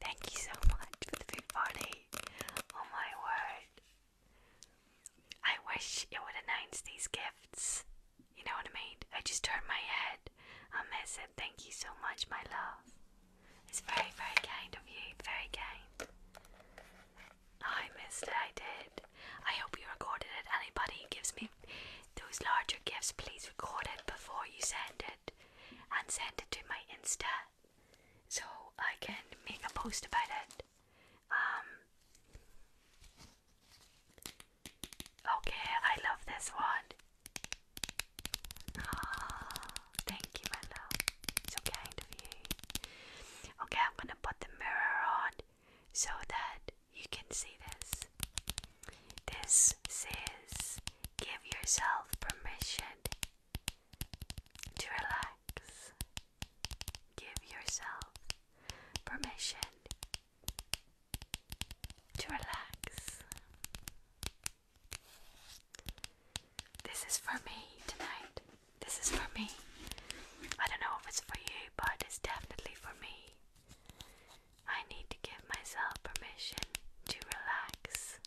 Thank you so much for the food party. Oh my word. I wish it would announce these gifts. You know what I mean? I just turned my head. I miss it. Thank you so much, my love. It's very, very kind of you. Very kind. I missed it. I did. I hope you recorded it. Anybody gives me those larger gifts, please record it before you send it and send it to my Insta so I can make a post about it. Um, okay, I love this one. Oh, thank you, my love. So kind of you. Okay, I'm gonna put the mirror on so that you can see this. This says give yourself permission to relax. Give yourself permission to relax. This is for me tonight. This is for me. I don't know if it's for you, but it's definitely for me. I need to give myself permission to relax.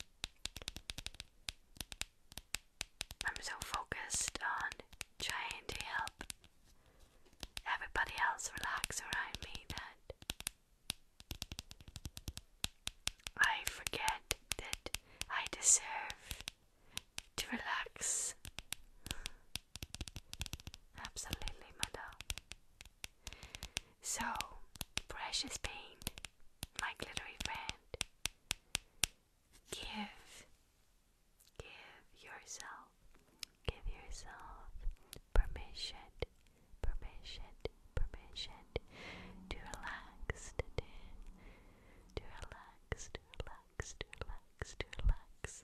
I'm so focused on trying to help everybody else relax around me that I forget that I deserve to relax. Absolutely, my love. So, precious paint, my glittery friend, give, give yourself, give yourself permission, permission, permission to relax to relax, to relax, to relax, to relax.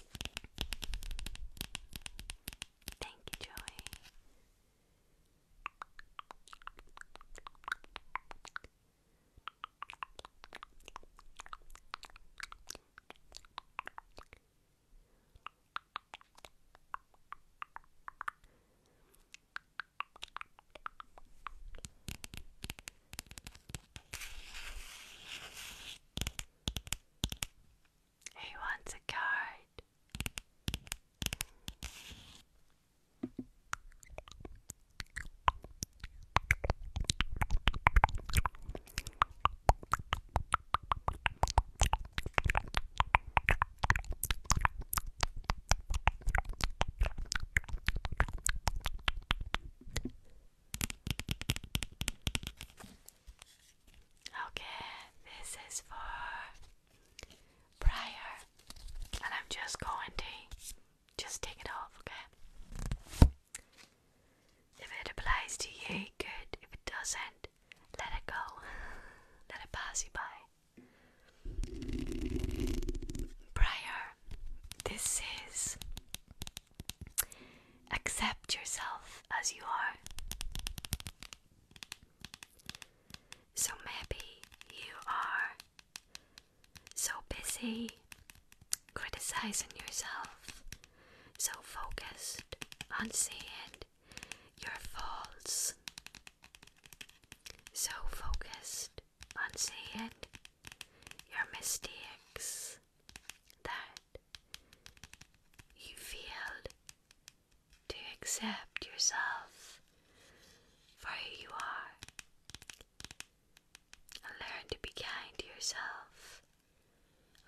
Thank you, Joey. He wants a card. Okay, this is for prior, and I'm just going to just take it off, okay? If it applies to you, good. If it doesn't, let it go. Let it pass you by. Prior, this is Accept yourself as you are. So maybe you are so busy criticizing yourself, so focused on seeing your faults, so focused on seeing your mistakes that you feel to accept yourself for who you are and learn to be kind to yourself.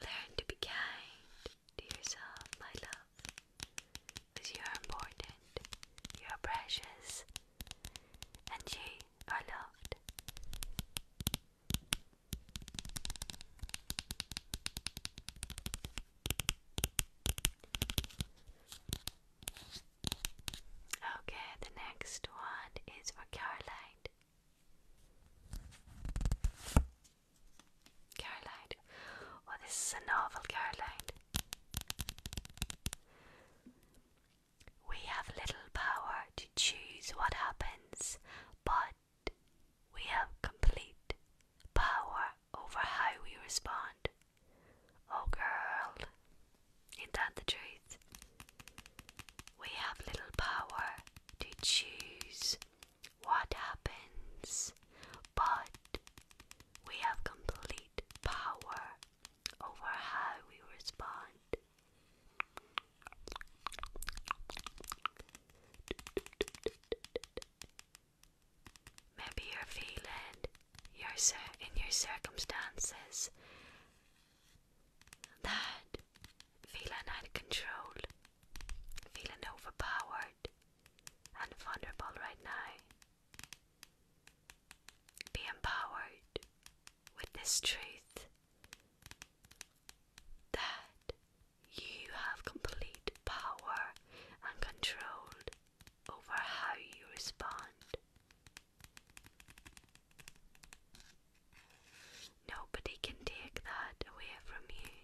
Learn to be kind to yourself, my love, because you are important, you are precious, and you are loved. Okay, the next one is for Caroline. Caroline. Oh, this is a novel, Caroline. We have little power choose what happens, but we have complete power over how we respond. Oh, girl, is that the truth? We have little power to choose what happens, but we have complete power over how we respond. Maybe you're feeling your in your circumstances that feeling out of control, feeling overpowered and vulnerable right now. Be empowered with this truth that you have complete power and control over how you respond. Nobody can take that away from you.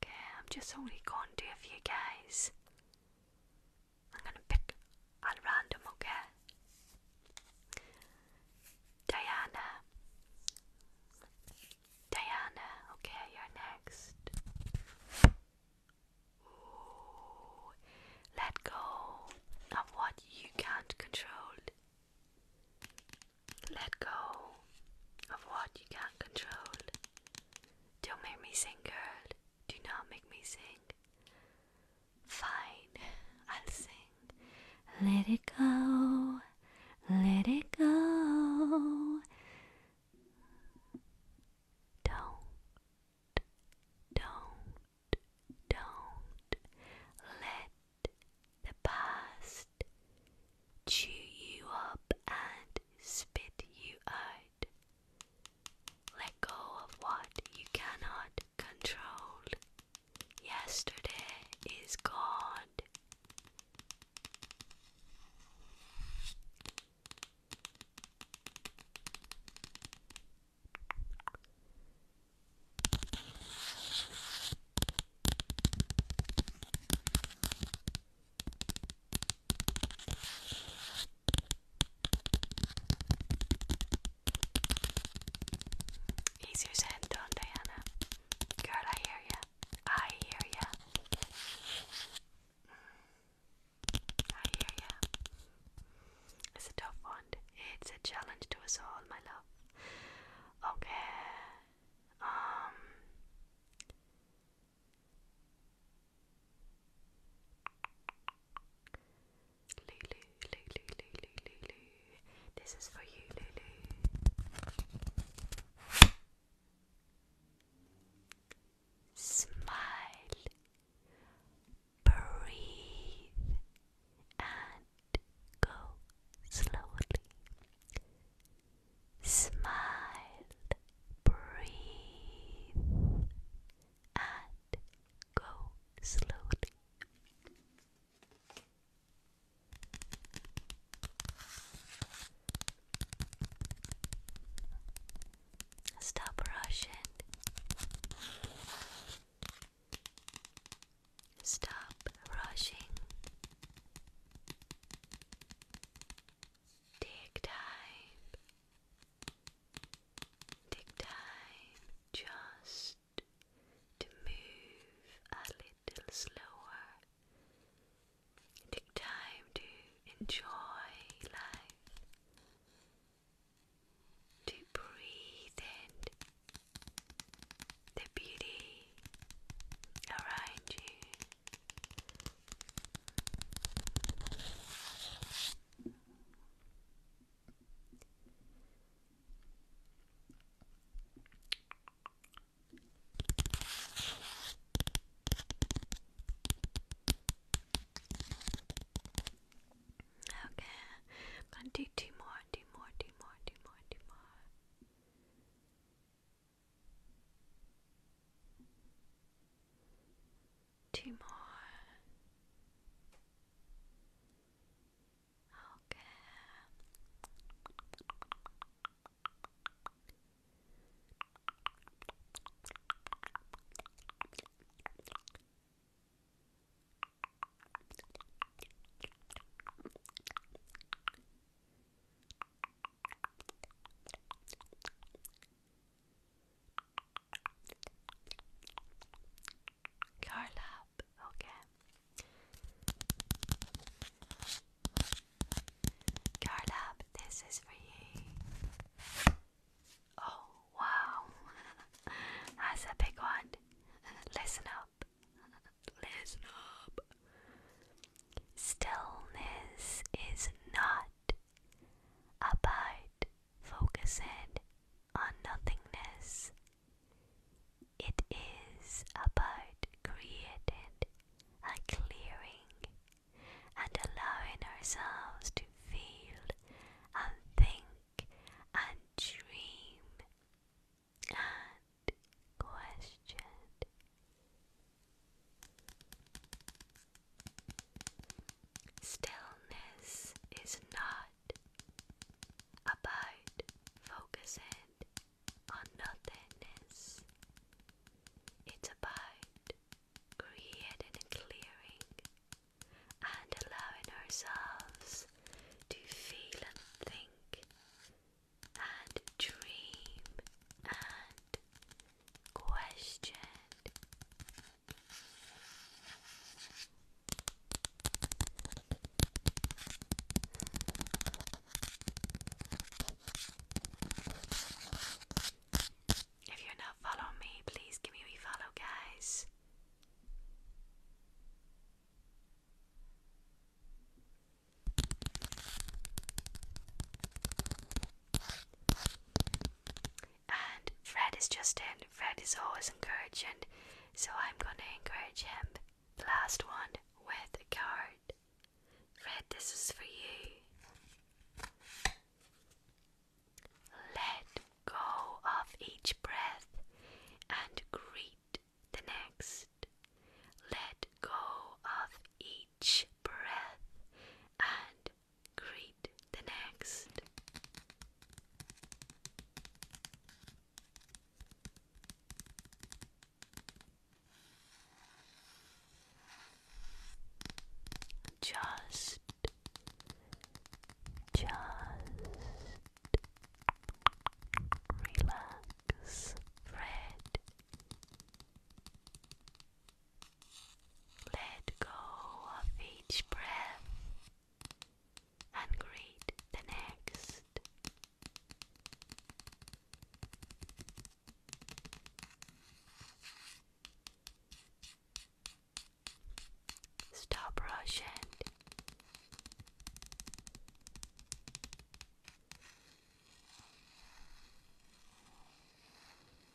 Okay, I'm just only going to a few guys. I'm gonna pick at random, okay? Diana. Diana, okay, you're next. let go of what you can't control. Let go of what you can't control. Don't make me sing, girl. Do not make me sing. Fine, I'll sing. Let it go, let it go. Don't, don't, don't let the past chew you up and spit you out. Let go of what you cannot control. Yesterday is gone. Easier said than Diana. Girl, I hear ya. I hear ya. I hear ya. It's a tough one. It's a challenge to us all, my love. Okay. Um. Lulu, Lulu, Lulu, Lulu. This is for you, Lulu. Smile, breathe, and go slowly. Smile, breathe, and go slowly. Stop rushing. Stop rushing. Take time Take time just to move a little slower. Take time to enjoy life, to breathe in the beauty around you. Okay, I'm do more, two more, two more, two more, two more two more. Okay. Curl okay. Curl this is for you. Oh wow, that's a big one. Listen up, listen up. Stillness is not Abide focused on nothingness. It is about created a clearing and allowing ourselves to feel and think and dream and question. Stillness is not about focusing on nothingness, it's about creating a clearing and allowing ourselves to feel and think and dream and question if you're not following me, please give me a follow, guys. And Fred is just in. Fred is always encouraging, so I'm gonna encourage him. The last one with a card. Fred, this is for you. Let go of each breath and greet the next. Let go of each breath and greet the next. Just, just relax, Fred. Let go of each breath and greet the next. Stop rushing.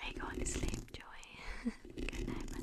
Are you going to sleep, Joy? Good night, my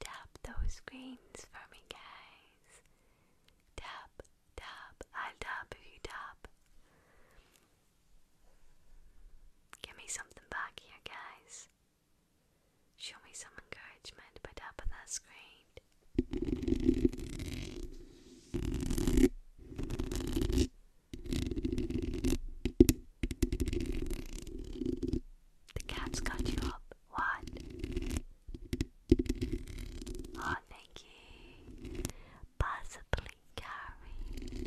Tap those screens for me, guys. Tap, tap. I'll tap if you tap. Give me something back here, guys. Show me some encouragement by tapping that screen. The cat's got you up. What? Oh, thank Possibly carry.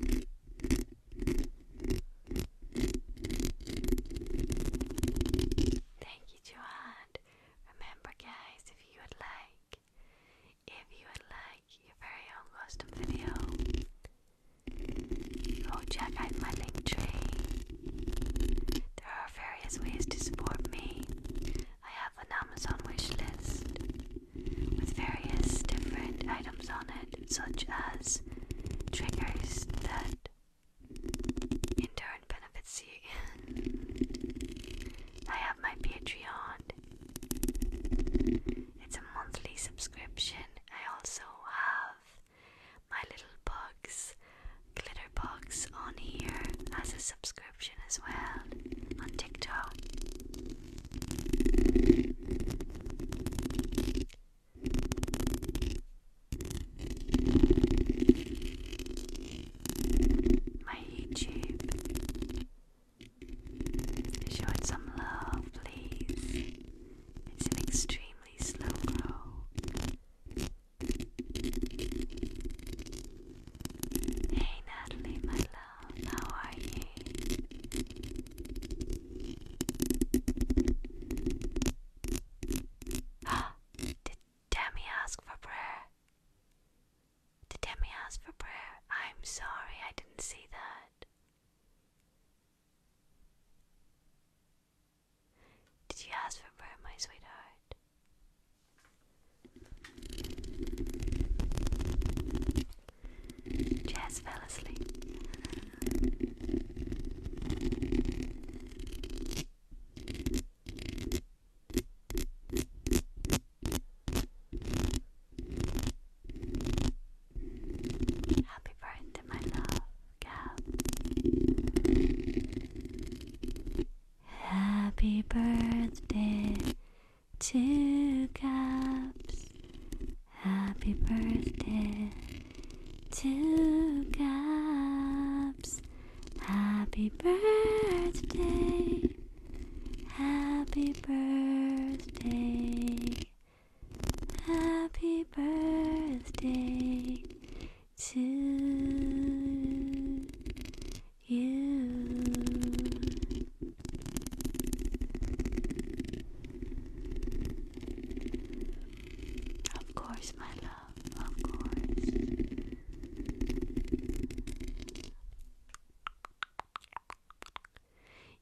Thank you, Joanne. Remember, guys, if you would like, if you would like your very own custom video, go check out my link tree. There are various ways to support me. I have an Amazon wish list with various different items on it, such as triggers that in turn benefits you. I have my Patreon, it's a monthly subscription. I also have my little box, glitter box, on here as a subscription as well on TikTok. My YouTube show it some love, please. It's an extremely slow grow. Hey Natalie, my love how are you? Did Demi ask for prayer? Did Demi ask for prayer? I'm sorry, I didn't see that. Did you ask for prayer, my sweetheart? Jazz fell asleep. Happy birthday, my love, Gab. Happy birthday two cups. Happy birthday, two cups. Happy birthday, happy birthday, happy birthday to you. Of course, my love, of course.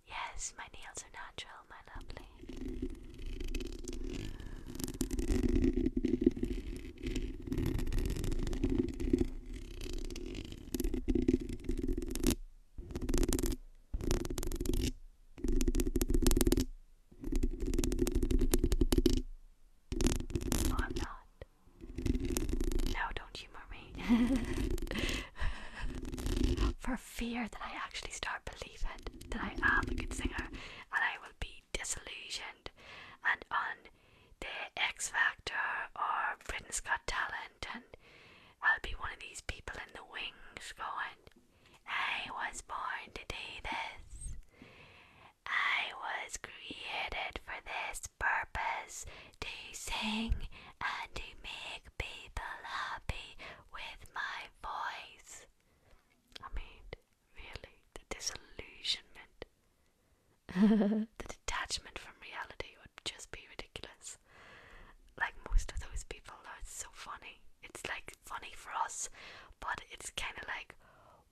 Yes, my nails are natural, my lovely. No, not. No, don't humor me. For fear that I actually start believing that I am a good singer and I will be disillusioned and on the X Factor or Britain's Got Talent I'll be one of these people in the wings going, I was born to do this. I was created for this purpose to sing and to make people happy with my voice. I mean, really, the disillusionment, the detachment from reality would just be ridiculous. Like most of those people, though, it's so funny. It's like funny for us, but it's kind of like,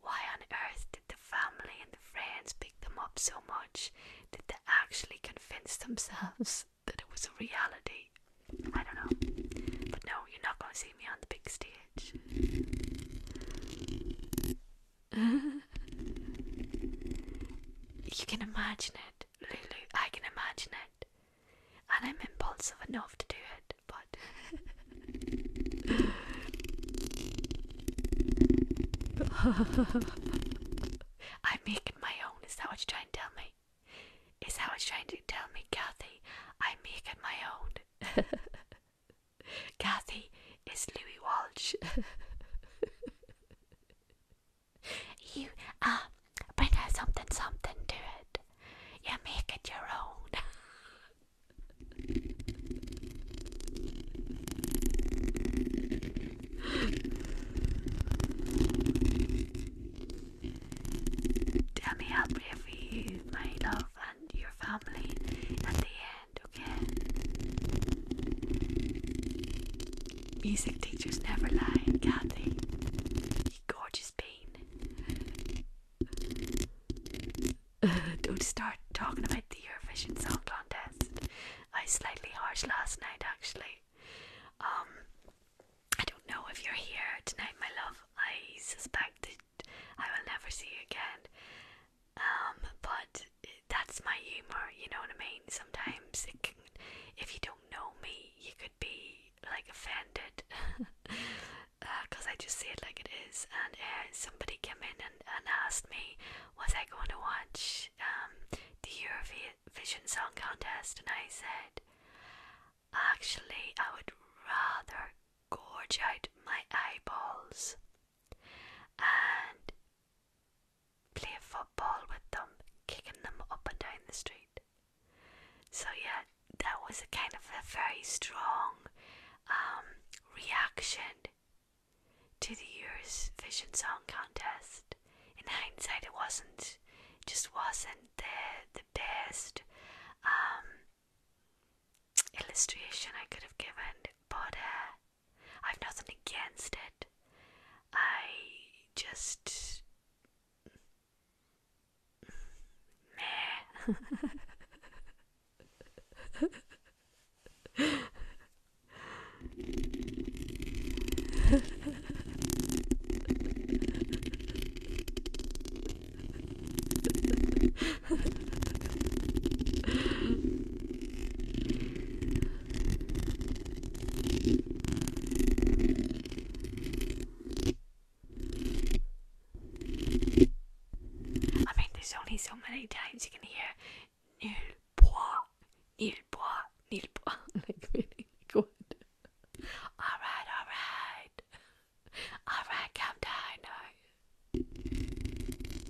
why on earth did the family and the friends pick them up so much? Did they actually convince themselves that it was a reality? I don't know. But no, you're not going to see me on the big stage. you can imagine it. Lulu, I can imagine it. And I'm impulsive enough to do it, but. I am making my own, is that what you're trying to tell me? Is that what you're trying to tell me, Kathy? I am making my own. Kathy is Louis Walsh. You uh bring her something something to it. You make it your own. Tell me how brave you, my love, and your family at the end, okay? Music teachers never lie, can they? You gorgeous pain. don't start talking about the Eurovision Song Contest. I was slightly harsh last night, actually. Um, I don't know if you're here tonight, my love. I suspect that I will never see you again. Um, but that's my humor, you know what I mean? Sometimes if you don't know me, you could be like offended because uh, I just say it like it is. And uh, somebody came in and, asked me, Was I going to watch um, the Eurovision Song Contest? And I said, Actually, I would rather gorge out my eyeballs and play football with them, kicking them up and down the street. So, yeah, that was a kind of a very strong um, reaction to the Eurovision Song Contest. In hindsight, it wasn't, just wasn't the, the best um, illustration I could have given, but uh, I've nothing against it. I just. I mean, there's only so many times you can hear nil bois, nil bois, nil bois. like, really good. Alright, alright. Alright, calm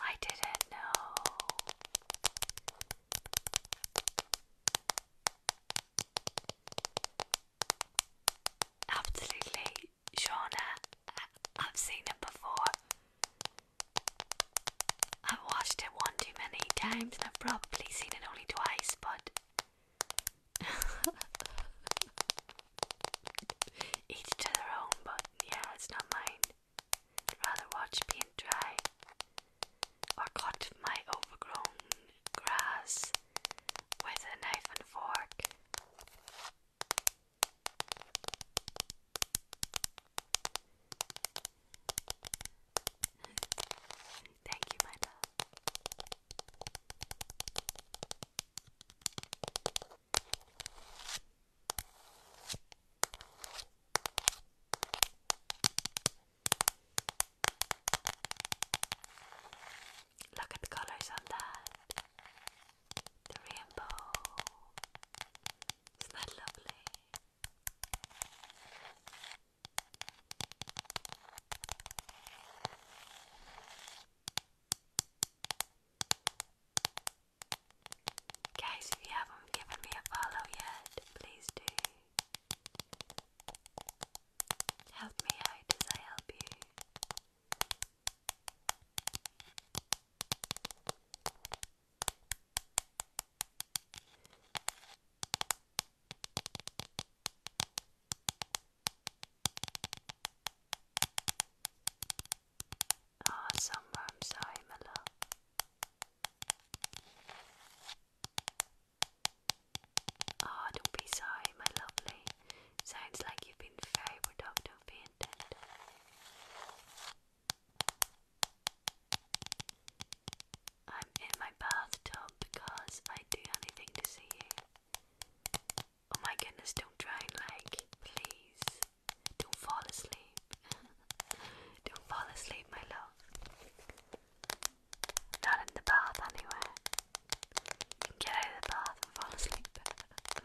I didn't know. Absolutely, Shauna. I've seen it before. I've watched it one too many times and I've probably seen it only twice, but each to their own, but yeah, it's not mine. I'd rather watch paint dry or cut my overgrown grass with a knife and fork. Thank you, my love. Look at the colors on The rainbow. Isn't that lovely? Guys, if you haven't given me a follow yet, please do. Help me out as I help you. Ah, somewhere I'm sorry, my love. Ah, don't be sorry, my lovely. Sounds like you've been very productive, ain't it? I'm in my bathtub because I do anything to see you. Oh my goodness, don't drown, like, please. Don't fall asleep. don't fall asleep, my love. Not in the bath, anyway. get out of the bath and fall asleep.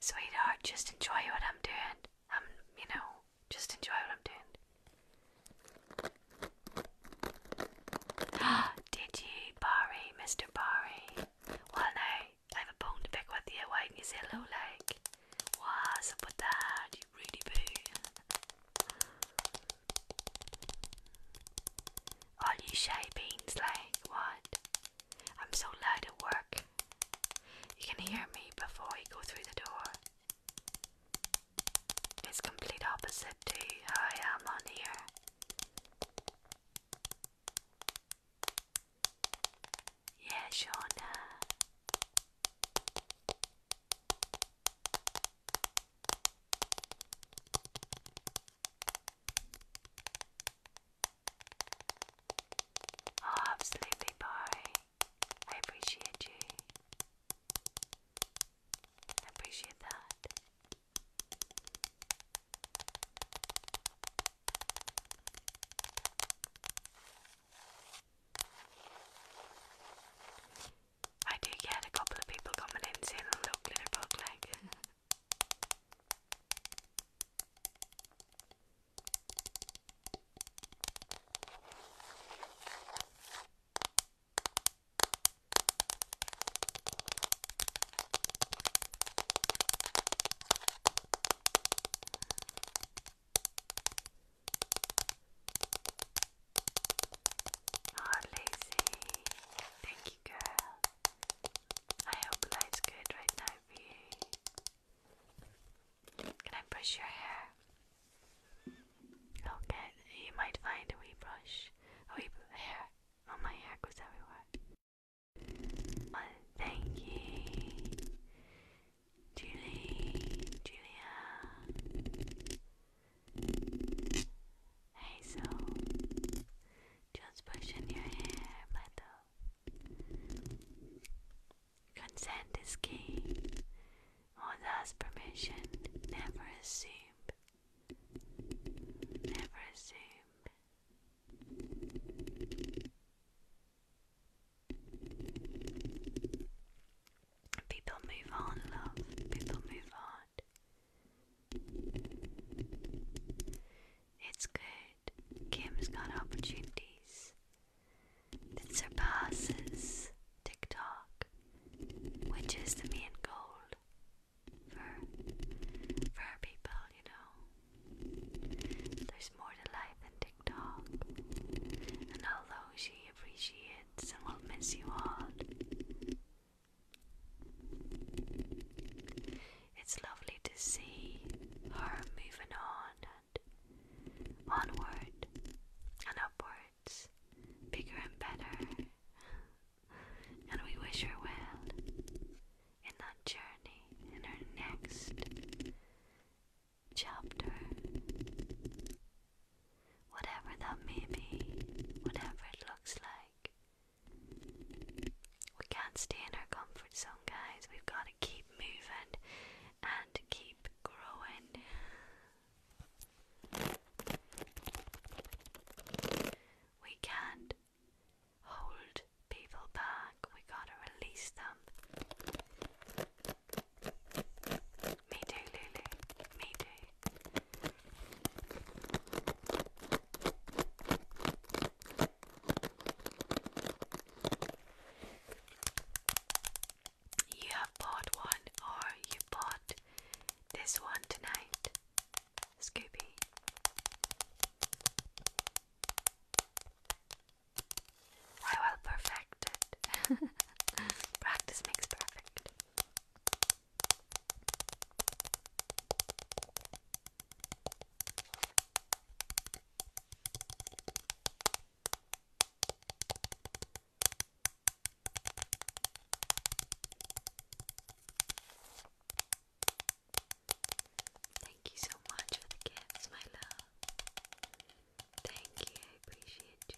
Sweetheart, just enjoy what I'm doing. I'm, um, you know, just enjoy what I'm doing. Did you, Barry, Mr. Barry? Well, now, I have a bone to pick with you. Why didn't you say What's up with that? You really boo. All you shy beans, like what? I'm so loud at work. You can hear me before you go through the door. It's complete opposite to how I am on here. Yeah, Shauna absolutely, bye. I appreciate you. I appreciate that. I do get a couple of people coming in saying I look little bug like Not oh, lazy. Thank girl. I hope life's good right now Can I brush your hair? Okay, you might find a brush, a hair. Oh, my hair goes everywhere. thank you, Julie, Julia, Hazel, just pushing your hair, my Consent is key. Or permission. Never assume. Never assume. People move on, love. People move on. It's good. Kim's got opportunities that surpasses TikTok, which is the main goal for for our people, you know. There's more to life than TikTok. And although she appreciates and will miss you all, it's lovely to see her moving on and onward and upwards, bigger and better. And we wish her well in that journey, in her next chapter. Whatever that may be, whatever it looks like, we can't stay in our comfort zone, guys. We've got to keep moving and keep growing. We can't hold people back, we gotta release them. Me too, Lulu. Me too. You have bought one, or you bought this one tonight, Scooby. I will perfect it. Practice makes perfect. Thank you so much for the gifts, my love. Thank you, I appreciate you.